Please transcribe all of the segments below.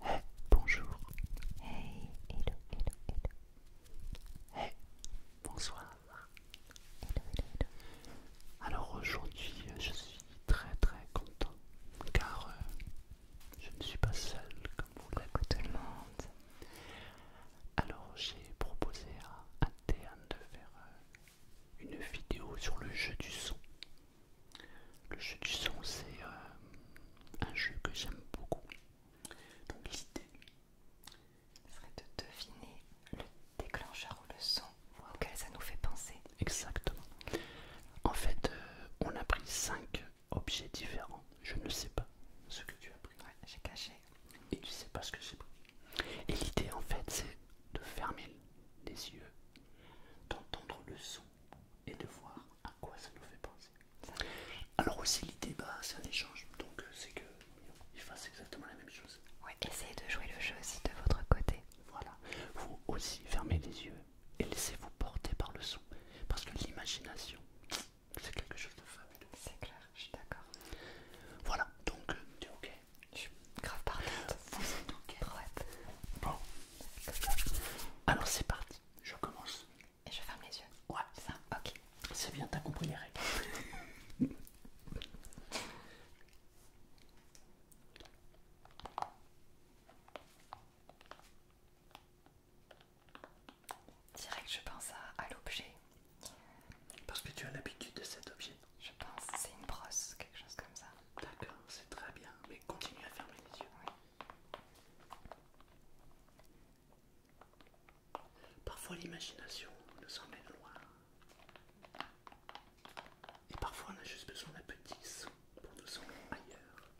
Hey, bonjour. Hey, hello, hello, hello. Hey, bonsoir. Hello, hello, Alors aujourd'hui, je suis très très content car euh, je ne suis pas seul comme vous l'avez tout le monde. Alors j'ai proposé à interne de faire euh, une vidéo sur le jeu du son. Le jeu du son, c'est euh, un jeu que j'aime beaucoup. Donc l'idée serait de deviner le déclencheur ou le son auquel ça nous fait penser. Exactement. En fait, euh, on a pris cinq objets différents. Je ne sais pas ce que tu as pris. j'ai caché. Et tu sais pas ce que j'ai pris. Et l'idée, en fait, c'est de fermer les yeux, d'entendre le son et de voir à quoi ça nous fait penser. Alors aussi l'idée, bah, c'est un échange, donc euh, c'est que ils fassent exactement la même chose. Oui, essayez de jouer le jeu aussi de votre côté. Voilà. Vous aussi fermez les yeux et laissez-vous porter par le son, parce que l'imagination, c'est quelque chose de fabuleux. C'est clair, je suis d'accord. Voilà, donc euh, tu es ok. Je suis grave Vous êtes ok. Ouais. Bon, alors c'est parti, je commence. Et je ferme les yeux. Ouais, ça, ok. C'est bien, t'as compris les règles. Direct, je pense à, à l'objet. Parce que tu as l'habitude de cet objet. Je pense, c'est une brosse, quelque chose comme ça. D'accord, c'est très bien, mais continue à fermer les yeux. Parfois l'imagination nous emmène loin. Et parfois on a juste besoin d'un petit son pour nous emmener ailleurs.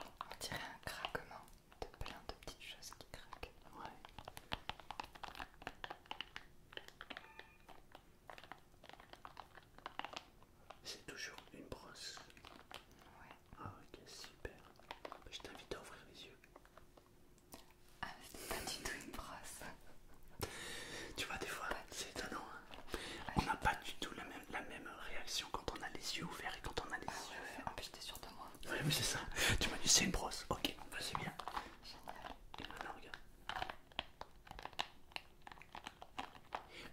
On dirait un craquement de plein de petites choses qui craquent. C'est toujours une brosse. Ouais. Ah ok, super. Je t'invite à ouvrir les yeux. Ah, c'est pas du tout une brosse. tu vois, des fois, c'est étonnant. Hein. On n'a pas du tout la même, la réaction quand on a les yeux ouverts et quand on a les ah yeux fermés. En plus, t'es sûr de moi. Oui, mais c'est ça. tu m'as dit c'est une brosse. Ok, vas bah, c'est bien. Génial. Et maintenant, regarde.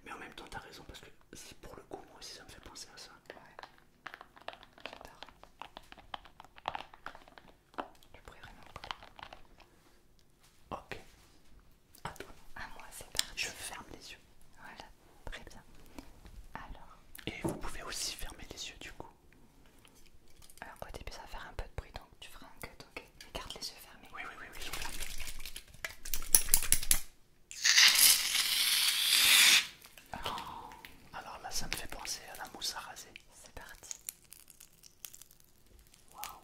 Mais en même temps, t'as raison parce que pour le coup, moi aussi, ça me fait penser à ça. Ouais. Je pourrais rien. Ok. À toi. À moi, c'est Je ferme les yeux. Voilà, très bien. Alors. Et vous pouvez aussi fermer les yeux du coup. Alors au début ça va faire un peu de bruit donc tu feras un cut, ok Garde les yeux fermés. Oui, oui, oui, oui. Oh. alors là ça me fait penser à la mousse à raser. C'est parti. Waouh.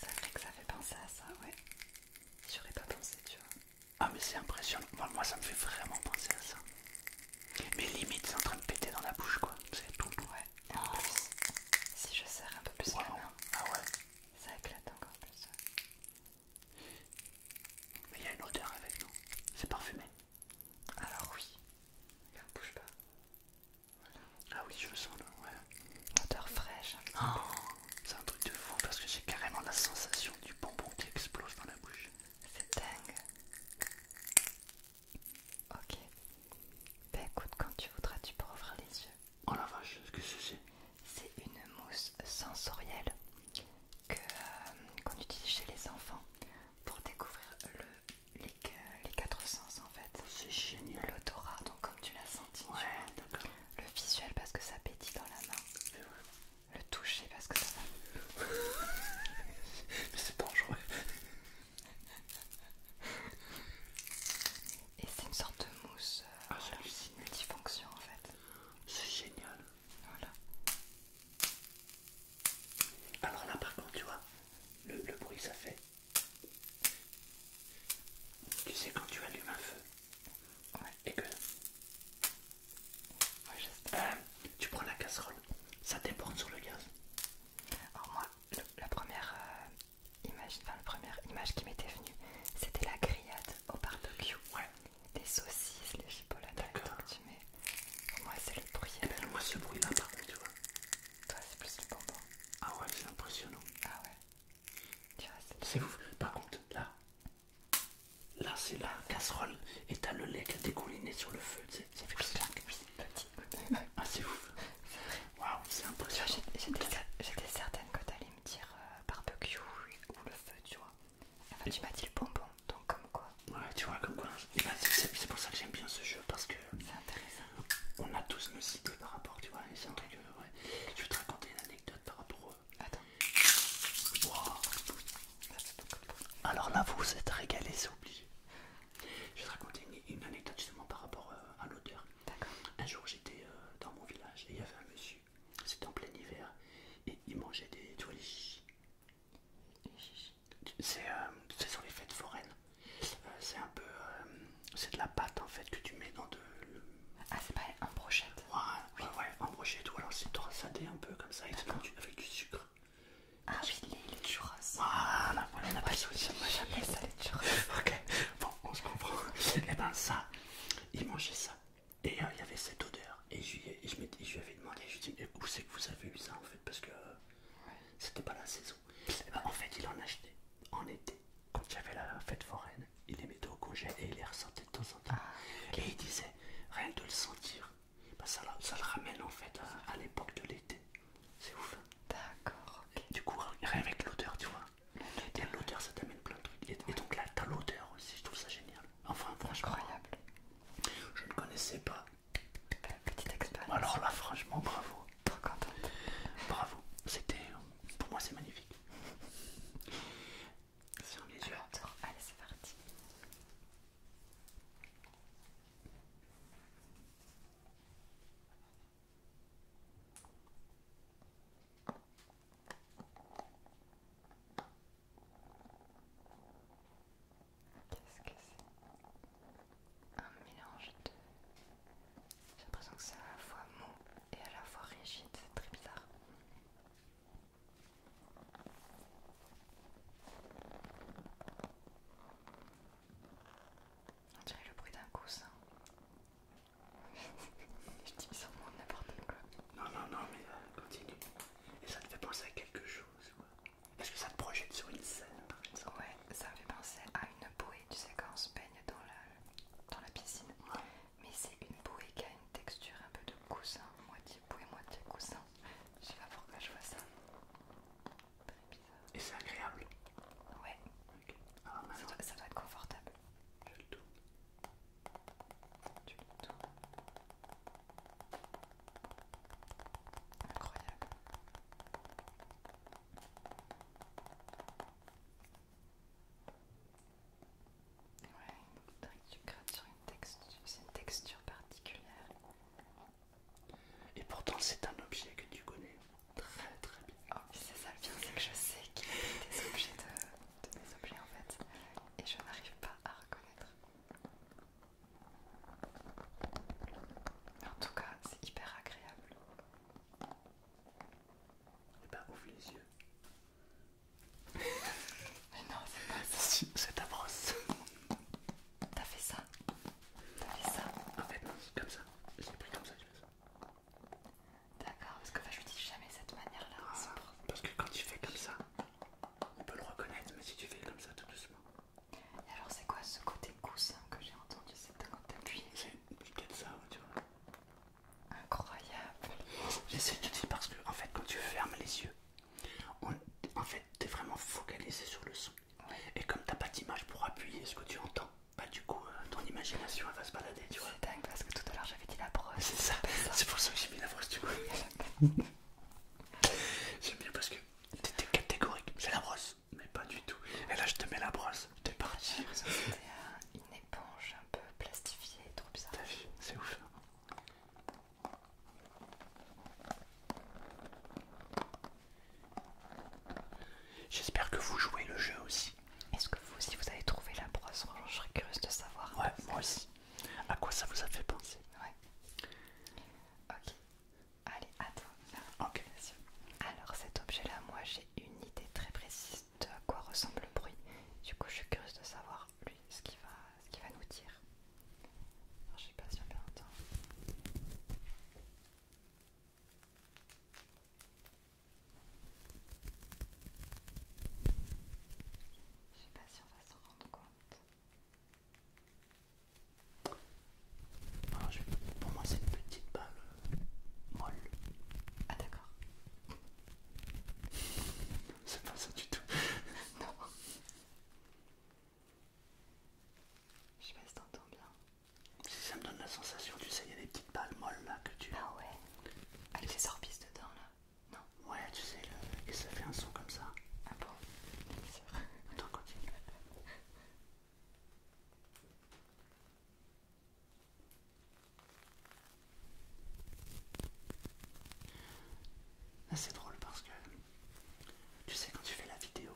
C'est vrai que ça fait penser à ça, ouais. J'aurais pas pensé, tu vois. Ah, mais c'est impressionnant. Moi, ça me fait vraiment penser à ça. Mais limite, c'est en train de péter dans la bouche, quoi. C'est tout. Ouais. si je serre un peu plus ah ouais. ça éclate encore plus. Mais il y a une odeur avec, non C'est parfumé. Alors oui. Regarde, bouge pas. Ah oui, je le sens là, ouais. Odeur fraîche. Oh, c'est un truc de fou parce que j'ai carrément la sensation du bonbon qui explose dans la bouche. C'est dingue. Ok. Ben écoute, quand tu voudras, tu peux ouvrir les yeux. Oh la vache, ce que c'est C'est une mousse sensorielle euh, qu'on utilise chez les enfants pour découvrir le les, quatre sens en fait. C'est génial. L'odorat, donc comme tu l'as senti. Le visuel parce que ça pétille dans la main. Le toucher parce que ça va. Mais c'est dangereux. Et c'est une sorte de mousse euh, ah, multifonction en fait. C'est génial. Voilà. Alors là par contre tu vois, le bruit ça fait tu sais quand tu allumes un feu et que euh, tu prends la casserole, ça déborde sur le gaz. Alors moi, euh, la première image, qui m'était venue, c'était la grillade au barbecue. Des saucisses, les chipolates, que tu moi c'est le bruit. Eh ben, moi ce bruit là toi, c'est plus le bonbon. Ah ouais, c'est impressionnant. Ah ouais. c'est ouf. Par contre, là, là, c'est la casserole et t'as le lait qui a dégouliné sur le feu. C'est plus que petit. ah, c'est ouf. Waouh, c'est impressionnant. J'étais certaine que t'allais me dire euh, barbecue ou le feu, tu vois. Enfin, tu m'as dit le bonbon, donc comme quoi. Ouais, tu vois, comme quoi. C'est pour ça que j'aime bien ce jeu parce que. C'est intéressant on a tous nos idées par rapport, tu vois, c'est un truc, euh, Je vais te raconter une anecdote par rapport à. Euh, Attends. Alors là, vous êtes régalé, c'est obligé. Je vais te raconter une, anecdote justement par rapport euh, à l'odeur. Un jour, j'étais dans mon village et il y avait un monsieur, c'était en plein hiver, et il mangeait des, tu C'est sur les fêtes foraines. Euh, c'est un peu. Euh, c'est de la pâte en fait que tu mets dans de. Ah, c'est pas en brochette Ouais, un ouais, en brochette, ou alors c'est trossadé un peu comme ça avec du, du sucre. Ah oui, les churros. Voilà, voilà, on a pas ça moi jamais ça, les churros. ok, bon, on se comprend. et eh ben ça, il mangeait ça. Et euh, il y avait cette odeur. Et je, je, je lui avais demandé, je lui ai dit, mais où c'est que vous avez eu ça en fait Parce que c'était pas la saison. Eh ben, en fait, il en achetait en été. Quand il y avait la fête foraine, il les mettait au congé et il les ressentait de temps en temps. Ah, et il disait, rien de le sentir, ben, ça, le ramène en fait à, l'époque de l'été. C'est ouf. Hein. D'accord. Du coup, rien avec l'odeur, tu vois. Et l'odeur, ça t'amène plein de trucs. Et, donc là, t'as l'odeur aussi, je trouve ça génial. Enfin, franchement. Incroyable. Je ne connaissais pas petite expérience. Alors là, franchement, bravo. Trop contente. Bravo. C'était. Pour moi, c'est magnifique. Sur les yeux. Allez, c'est parti. Qu'est-ce que c'est Un mélange de... J'ai l'impression que c'est à la fois mou et à la fois rigide, c'est très bizarre. On dirait le bruit d'un coussin. Je dis sûrement n'importe quoi. Non, non, non, mais euh, continue. Et ça te fait penser à quelque chose, quoi. Est-ce que ça te projette sur une scène par exemple. Ouais, ça me fait penser à une bouée, tu sais, quand on se baigne dans la, piscine. Mais c'est une bouée qui a une texture un peu de coussin, moitié bouée, moitié coussin. Je sais pas pourquoi je vois ça. Très bizarre. Et c'est agréable Ouais. Ok. Ah, ça, doit, être confortable. Je le Tu le tournes. Incroyable. Ouais, tu grattes sur une texture, texture particulière. Et pourtant, c'est un objet que tu connais très très bien. Oh, c'est ça le bien, c'est que je sais qu'il est des objets de mes objets en fait, et je n'arrive pas à reconnaître. En tout cas, c'est hyper agréable. Eh bah ouvre les yeux. Mais non, c'est pas C'est ta brosse. T'as fait ça T'as fait ça En fait, non, c'est comme ça. Je pris comme ça, je fais ça. D'accord, parce que bah, je lui dis jamais cette manière-là. Ah, parce que quand tu fais comme ça, on peut le reconnaître, mais si tu fais comme ça tout doucement, et alors, c'est quoi ce côté coussin que j'ai entendu C'est quand côté appuyé C'est peut-être ça, tu vois. Incroyable J'essaie de dire parce que, en fait, quand tu fermes les yeux, en fait, t'es vraiment focalisé sur le son. Et comme t'as pas d'image pour appuyer ce que tu entends, bah du coup, euh, ton imagination elle va se balader, tu vois. C'est dingue parce que tout à l'heure j'avais dit la brosse. C'est ça, c'est pour ça que j'ai mis la brosse, du coup. J'aime bien parce que t'étais catégorique, J'ai la brosse mais pas du tout. Et là, je te mets la brosse, t'es parti. Ah, c'était une éponge un peu plastifiée, trop bizarre. T'as vu, c'est ouf. J'espère que vous jouez le jeu aussi. Est-ce que vous aussi vous avez trouvé la brosse Je serais curieuse de savoir. Ouais, moi aussi. À quoi ça vous a fait penser Ouais. Ok, Allez, à toi. Ok. Alors cet objet-là, moi j'ai une idée très précise de à quoi ressemble le bruit. Du coup, je suis curieuse de savoir lui ce qu'il va, ce va nous dire. Alors, je sais pas si on Je sais pas si on va s'en rendre compte. Alors, ah, Pour moi, c'est une petite balle euh, molle. Ah, d'accord. c'est pas ça du tout. non. Je sais pas si t'entends bien. Si ça me donne la sensation, tu sais, il y a des petites balles molles là que tu. Ah ouais. Avec ah, les orbices dedans là. Non. Ouais, tu sais, et ça fait un son comme ça. Ah bon c'est drôle parce que tu sais, quand tu fais la vidéo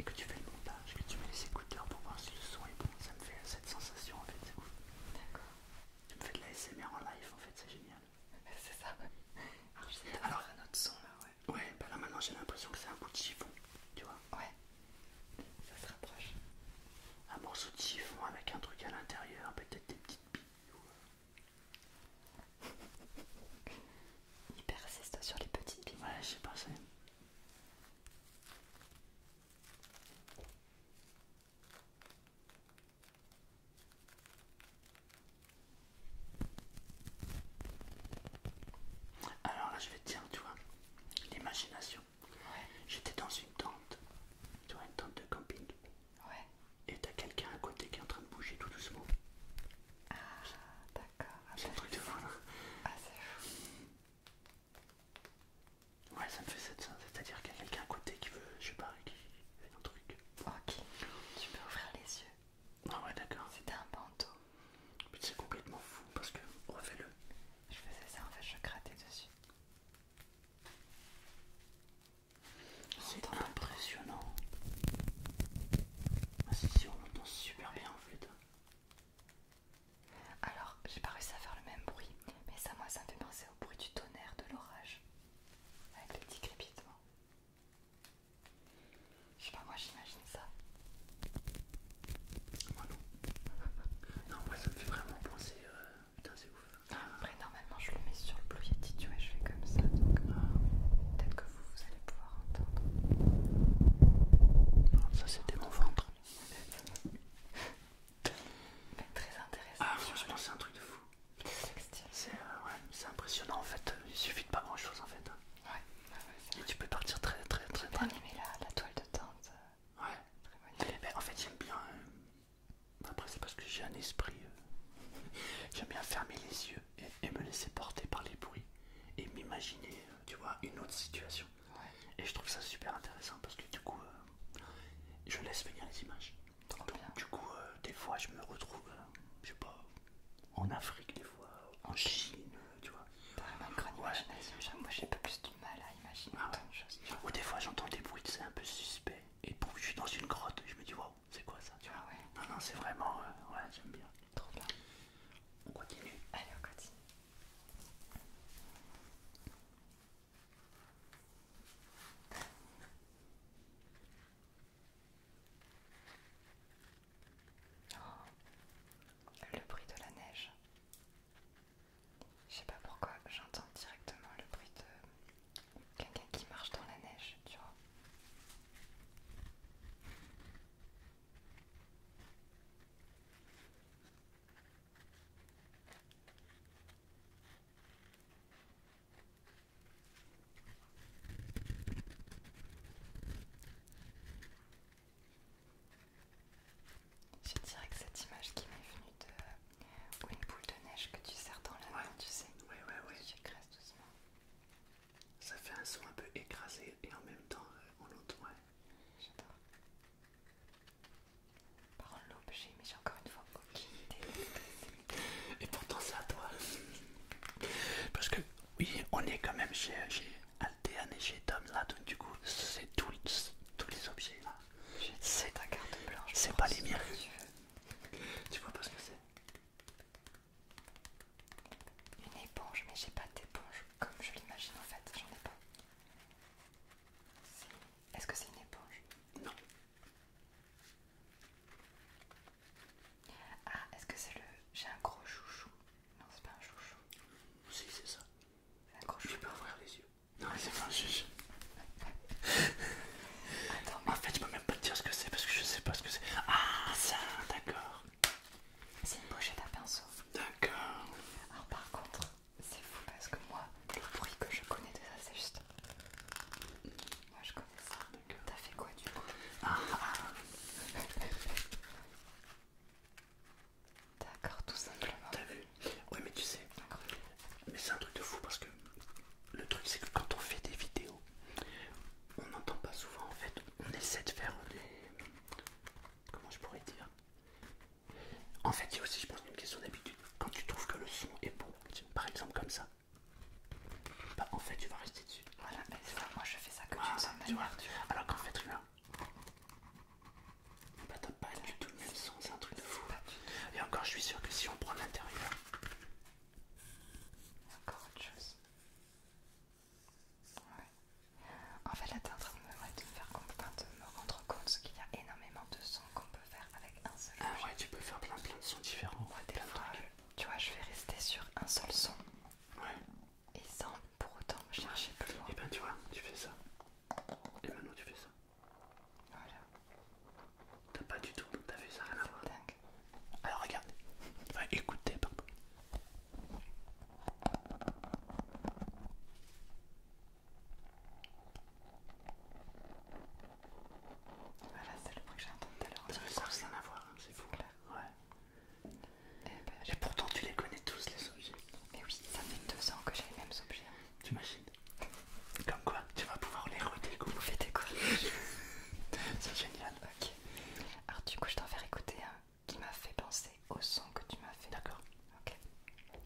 et que tu fais le montage, que tu mets les écouteurs pour voir si le son est bon, ça me fait cette sensation en fait, Tu me fais de la SMR en live en fait, c'est génial. C'est ça, Alors, ah, son ouais. Ouais, bah, maintenant j'ai l'impression que c'est un bout de chiffon, tu vois. Ouais, ça se rapproche. Un morceau de chiffon avec un truc à l'intérieur, peut-être des petites billes. Ou... Il euh. persiste sur les petites billes. Ouais, je sais pas, c'est. Alors là, je vais te dire, tu vois, l'imagination. J'étais dans une tente, tu vois, une tente de camping. Et t'as quelqu'un à côté qui est en train de bouger tout doucement. Ah, d'accord. Ah, c'est un bah, truc de fou là. Ah, c'est Ouais, ça me fait cette C'est-à-dire qu'il y a quelqu'un à côté qui veut, je sais pas, qui fait un truc. Ok. Tu peux ouvrir les yeux. Ah d'accord. C'était un bandeau. C'est complètement fou parce que refais-le. Je faisais ça en fait, je grattais dessus. C'est impressionnant. Ah, si on entend super bien en fait. Alors j'ai pas réussi à faire le même bruit, mais ça moi ça me fait penser au bruit du tonnerre de l'orage. Avec le petit crépitement. Je sais pas, moi j'imagine ça. Moi non. non, moi ça me fait vraiment penser. Euh, putain, c'est ouf. Après, normalement je le mets sur le Blue Yeti, tu vois, je fais comme ça. Donc euh, peut-être que vous, vous allez pouvoir entendre. Ah, ça c'était mon ventre. Bah, très intéressant. Ah, je franchement, c'est un truc de fou. Euh, c'est impressionnant en fait, il suffit de pas grand chose en fait. Et tu peux partir très très très bien. J'ai bien la, toile de teinte. Euh, ouais. en fait j'aime bien... Euh, après c'est parce que j'ai un esprit... j'aime bien fermer les yeux et, me laisser porter par les bruits et m'imaginer, tu vois, une autre situation. Et je trouve ça super intéressant parce que du coup, je laisse venir les images. Trop bien. Du coup, euh, des fois, je me retrouve, euh, je sais pas, en Afrique, des fois, en Chine, euh, tu vois. T'as vraiment une Moi, j'ai pas plus du mal à imaginer ah Ou des fois, j'entends des bruits, c'est un peu suspect. Et je suis dans une grotte, je me dis, waouh, c'est quoi ça tu ah Non, non, c'est vraiment, ouais, j'aime bien. Trop bien. On continue. Allez, on continue. Oh, le bruit de la neige. Je sais pas pourquoi j'entends directement le bruit de quelqu'un qui marche dans la neige, tu vois. Je dirais que cette image qui m'est venue de euh, une boule de neige que tu sers dans la main, tu sais. Ça fait un son un peu écrasé et en même temps on euh, l'entend. J'adore. Par l'objet, mais j'ai encore une fois et pourtant c'est à toi. Parce que oui, on est quand même chez, Aldean et chez Tom là, donc du coup c'est tous les objets là. C'est ta carte blanche. C'est pas les miens. Tu vois pas ce que c'est Une éponge, mais j'ai pas d'éponge comme je l'imagine en fait, j'en ai pas. Est-ce que c'est une éponge Non. Ah, est-ce que c'est le. J'ai un gros chouchou. Non, c'est pas un chouchou. Si, c'est ça. C'est un gros chouchou. Je peux ouvrir les yeux. Non, c'est pas un chouchou. Attends, En fait, je peux même pas te dire ce que c'est parce que je sais pas ce que c'est. Ah, ça, d'accord. C'est une pochette à pinceau. D'accord. Alors, par contre, c'est fou parce que moi, le bruit que je connais de ça, c'est juste je connais ça. T'as fait quoi du coup ah. D'accord, tout simplement. T'as vu Ouais, mais tu sais, mais c'est un truc de fou parce que le truc c'est que quand on fait des vidéos, on n'entend pas souvent en fait. On essaie de faire des. Comment je pourrais dire En fait, il y a aussi, je pense, une question d'habitude. Quand tu trouves que le son est bon, par exemple comme ça, bah, en fait, tu vas rester dessus. Voilà, mais ça moi je fais ça comme ça, tu vois. Tu vois. Alors qu'en fait, là, bah, t'as pas du tout le même son, c'est un truc de fou. Et encore, je suis sûr que si on prend l'intérieur, encore autre chose. En fait, là, t'es en train de me, faire comprendre, de me rendre compte qu'il y a énormément de sons faire avec un seul Ah ouais, tu peux faire plein de sons différents. Moi, la fois, tu vois, je vais rester sur un seul son. Ouais. Et sans pour autant me chercher plus loin. Et eh ben tu vois, tu fais ça. Et eh maintenant tu fais ça. Voilà. T'as pas du tout, t'as fait ça rien à voir. Dingue. Alors regarde. Va écoutez, voilà, c'est le bruit que j'ai entendu tout à l'heure. Ça n'a rien à voir, c'est fou. Ouais. Eh ben, Et, pourtant, tu les connais tous, les objets. Mais oui, ça fait deux ans que j'ai les mêmes objets. T'imagines Comme quoi, tu vas pouvoir les redécouvrir. Vous c'est génial. Ok. Alors, du coup, je t'en fais écouter un qui m'a fait penser au son que tu m'as fait. D'accord. Ok.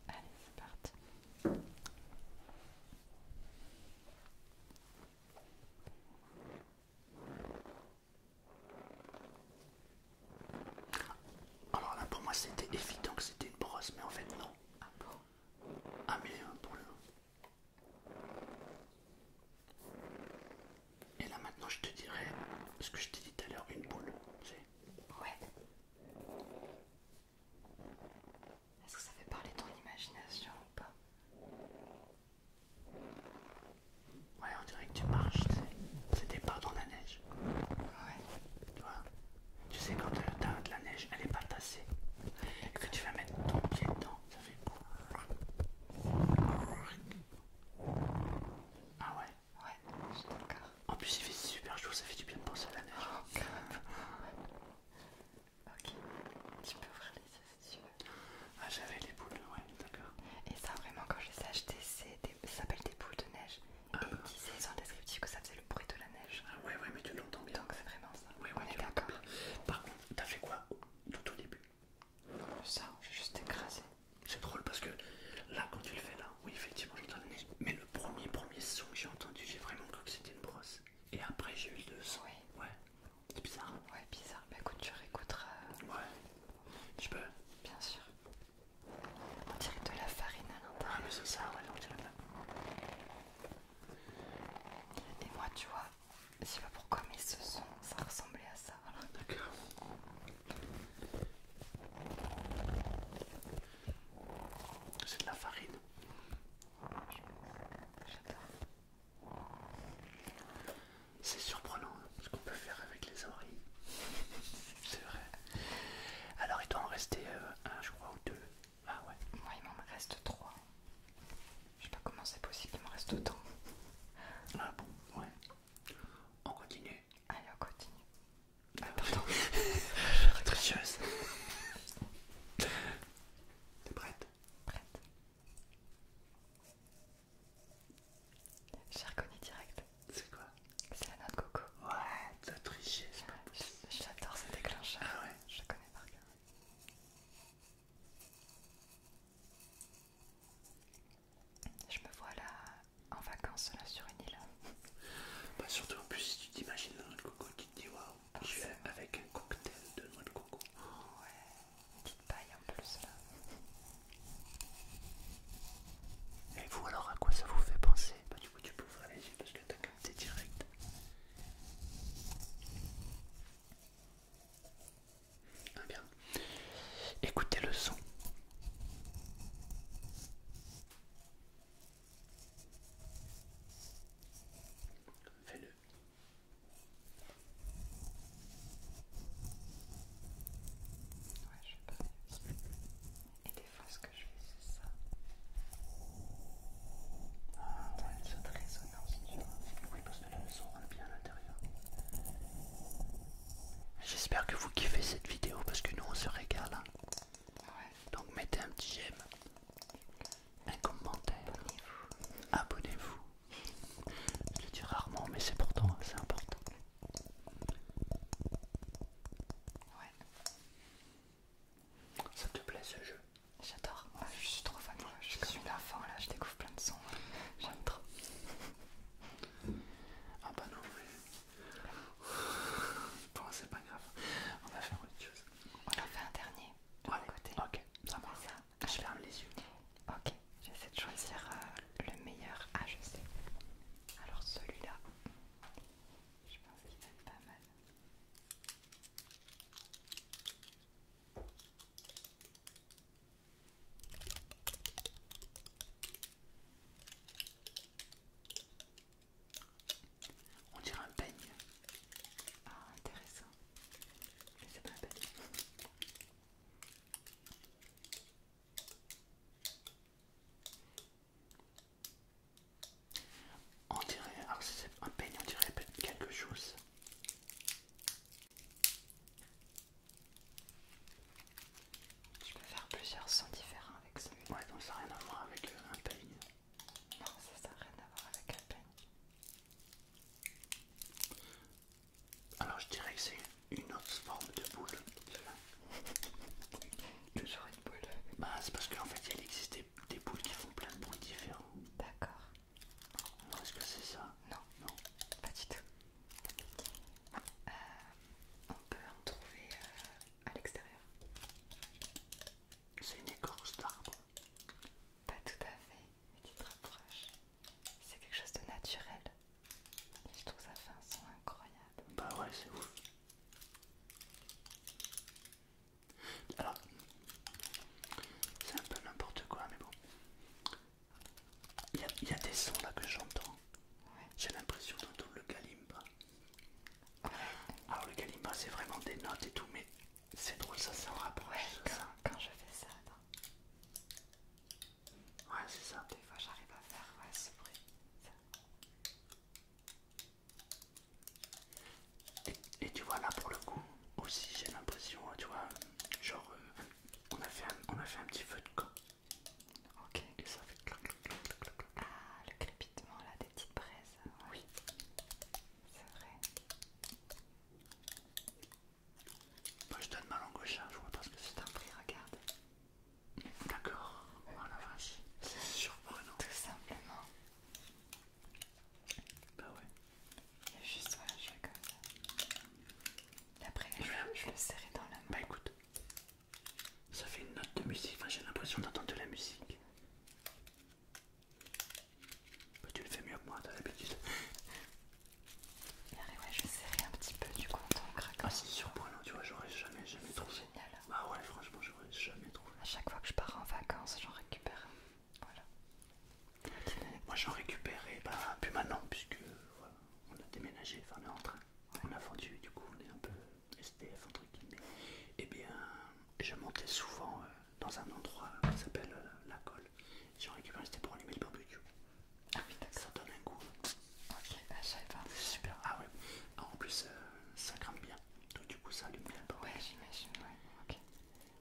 Allez, c'est parti. Alors là, pour moi, c'était évident que c'était une brosse, mais en fait, non. Ah bon Ah, mais euh, pour le. Et là, maintenant, je te dirais ce que je t'ai dit tout à l'heure une boule, tu sais Ouais. Est-ce que ça fait parler ton imagination ou pas Ouais, on dirait que tu marches, c'était pas dans la neige. Ouais. Tu vois Tu sais, quand t'as de la neige, elle est pas tassée. Et que tu vas mettre ton pied dedans, ça fait. Ah ouais Ouais, je En plus, il fait super chaud, ça fait du bien de penser à la neige. Oh, Ok, tu peux ouvrir les yeux si tu veux. Ah, j'avais les boules, ouais, d'accord. Et ça, vraiment, quand je les ai achetées, ça s'appelle des boules de neige. et ah. ils disaient dans le descriptif que ça faisait le bruit de la neige. Ah, ouais, ouais, mais tu l'entends bien. Donc, c'est vraiment ça. Ouais, ouais, d'accord. Par contre, t'as fait quoi tout au début Ça, j'ai juste écrasé. C'est drôle parce que là, quand tu le fais là, oui, effectivement, j'entends la neige. Mais le premier, premier son que j'ai entendu, j'ai vraiment cru que c'était une brosse. Et après j'ai eu le Oui. Ouais. C'est bizarre. ouais, bizarre. mais bah, écoute, tu réécouteras. Euh, ouais. Je peux Bien sûr. On dirait de la farine à l'intérieur. Ah, mais c'est ça, ouais, on dirait Et moi, tu vois, je sais pas pourquoi, mais ce son, ça ressemblait à ça. D'accord. C'est de la farine. C'est surprenant hein, ce qu'on peut faire avec les oreilles. C'est vrai. Alors il doit en rester euh, un, je crois, ou deux. Ah ouais. Moi il m'en reste trois. Je sais pas comment c'est possible, il m'en reste autant. Ah bon, ouais. On continue. Allez, on continue. Ah, pardon. Tricheuse. T'es prête Prête. J'ai reconnu direct. C'est quoi C'est la note coco. Ouais, t'as triché, J'adore ce déclencheur. Ah je connais par cœur. Je me vois là en vacances sur une île. Bah surtout en plus si tu t'imagines dans notre coco qui es je suis avec un cocktail de noix de coco. Oh, ouais, petite paille en plus là. Et vous alors à quoi ça vous fait penser Bah du coup tu peux ouvrir les yeux parce que t'as capté direct. Ah bien. Écoutez le son. Fais-le. Ouais, je vais pas Et des fois, ce que je fais, c'est ça. Ah, ouais, cette résonance, tu vois. Oui, parce que le son voit bien à l'intérieur. J'espère que vous kiffez cette vidéo parce que nous on se régale. Hein. Donc mettez un petit j'aime, un commentaire, abonnez-vous. Je le dis rarement, mais c'est pourtant c'est important. Ça te plaît ce jeu J'adore. je suis trop fan. je suis comme une là, je découvre plein de sons. J'aime trop. ah bah Bon, c'est pas grave. On va faire autre chose. On en fait un dernier. De l'autre côté. Ok, ça marche. Ça. Je ferme les yeux. Ok, j'essaie de choisir euh, le meilleur. Ah, je sais. Alors celui-là, je pense qu'il va être pas mal. On dirait un peigne. Ah, intéressant. Mais c'est pas un peigne. On dirait, alors si c'est un peigne, on dirait quelque chose. Je peux faire plusieurs sons différents avec Ouais, donc ça n'a rien à voir avec un peigne. Non, ça n'a rien à voir avec un peigne. Alors je dirais que c'est une autre forme de boule. Toujours une boule. Bah c'est parce qu'en fait il existe des, boules qui font plein de bruits différents. D'accord. Est-ce que c'est ça Non. Non. Pas du tout. Euh, on peut en trouver euh, à l'extérieur. C'est une écorce d'arbre. Pas tout à fait, mais tu te rapproches. C'est quelque chose de naturel. Et je trouve ça fait un son incroyable. Bah ouais, c'est ouf. Alors, c'est un peu n'importe quoi, mais bon. Il y, a, des sons là que j'entends. J'ai l'impression d'un double kalimba. Alors ah, le kalimba c'est vraiment des notes et tout, mais c'est drôle ça, c'est en rapproche. quand, je fais ça, Ouais, c'est ça. Des fois j'arrive à faire ce Et, tu vois là pour le coup aussi j'ai l'impression, tu vois, genre euh, on, a fait on a fait un petit feu de camp Ok, ça fait clac clac clac cloc. Ah, le crépitement là des petites braises. Oui, c'est vrai. Moi je donne ma langue au chat, je vois pas que c'est. un prix. regarde. D'accord, Voilà, oh, la vache, c'est surprenant. Tout simplement. Bah ouais. Et juste, voilà, je fais comme ça. Et après, je, le serrer dans la main. Bah écoute, ça fait une note de musique, enfin, j'ai l'impression d'entendre de la musique. Bah, tu le fais mieux que moi, t'as l'habitude. ouais, je serrais un petit peu du coup en craquant. Ah, c'est surprenant, tu vois, j'aurais jamais, jamais trouvé. Génial. Bah ouais, franchement, j'aurais jamais trouvé. À chaque fois que je pars en vacances, j'en récupère. Voilà. Moi, j'en récupérais, bah, plus maintenant, puisque on a déménagé, enfin, on est en train. On a vendu, du coup, on est un peu entre et eh bien je montais souvent euh, dans un endroit qui s'appelle euh, la colle. J'en récupère, c'était pour allumer le barbecue. Ah oui, ça donne un goût. Ok, ah, je savais pas. super. Ah ouais. Ah, en plus, euh, ça crame bien. Donc du coup, ça allume bien. Le ouais, j'imagine. Ok.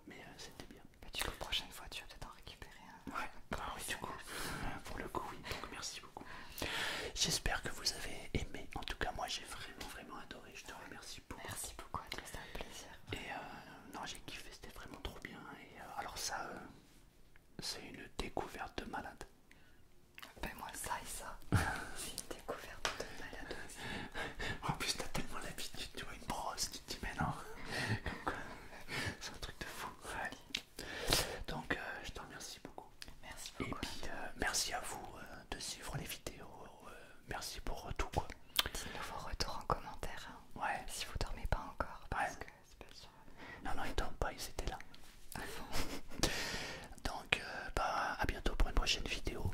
Mais c'était bien. Bah, du coup, prochaine fois, tu vas peut-être en récupérer. un. Ouais. Ah oui, du coup, pour le coup, oui. Donc merci J'espère que vous avez aimé. En tout cas, moi j'ai vraiment, vraiment adoré. Je te remercie beaucoup. Merci beaucoup, c'était un plaisir. Et euh, non, j'ai kiffé, c'était vraiment trop bien. Et euh, alors, ça, euh, c'est une découverte de malade. Ben, moi, ça et ça, c'est une découverte de malade En plus, t'as tellement l'habitude, tu vois, une brosse, tu te dis, mais non, comme quoi, c'est un truc de fou. Donc, euh, je te remercie beaucoup. Merci Et puis, euh, merci à vous euh, de suivre les vidéos. merci pour tout. Dites-nous vos retours en commentaire. Hein. ouais. Si vous dormez pas encore. Parce que c'est pas sûr. Non, non, ils dorment pas, ils étaient là. Ah Donc, bah, à bientôt pour une prochaine vidéo.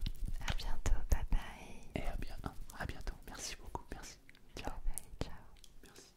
À bientôt, bye bye. Et à, bien, à bientôt, merci beaucoup, merci. Ciao. ciao. Merci.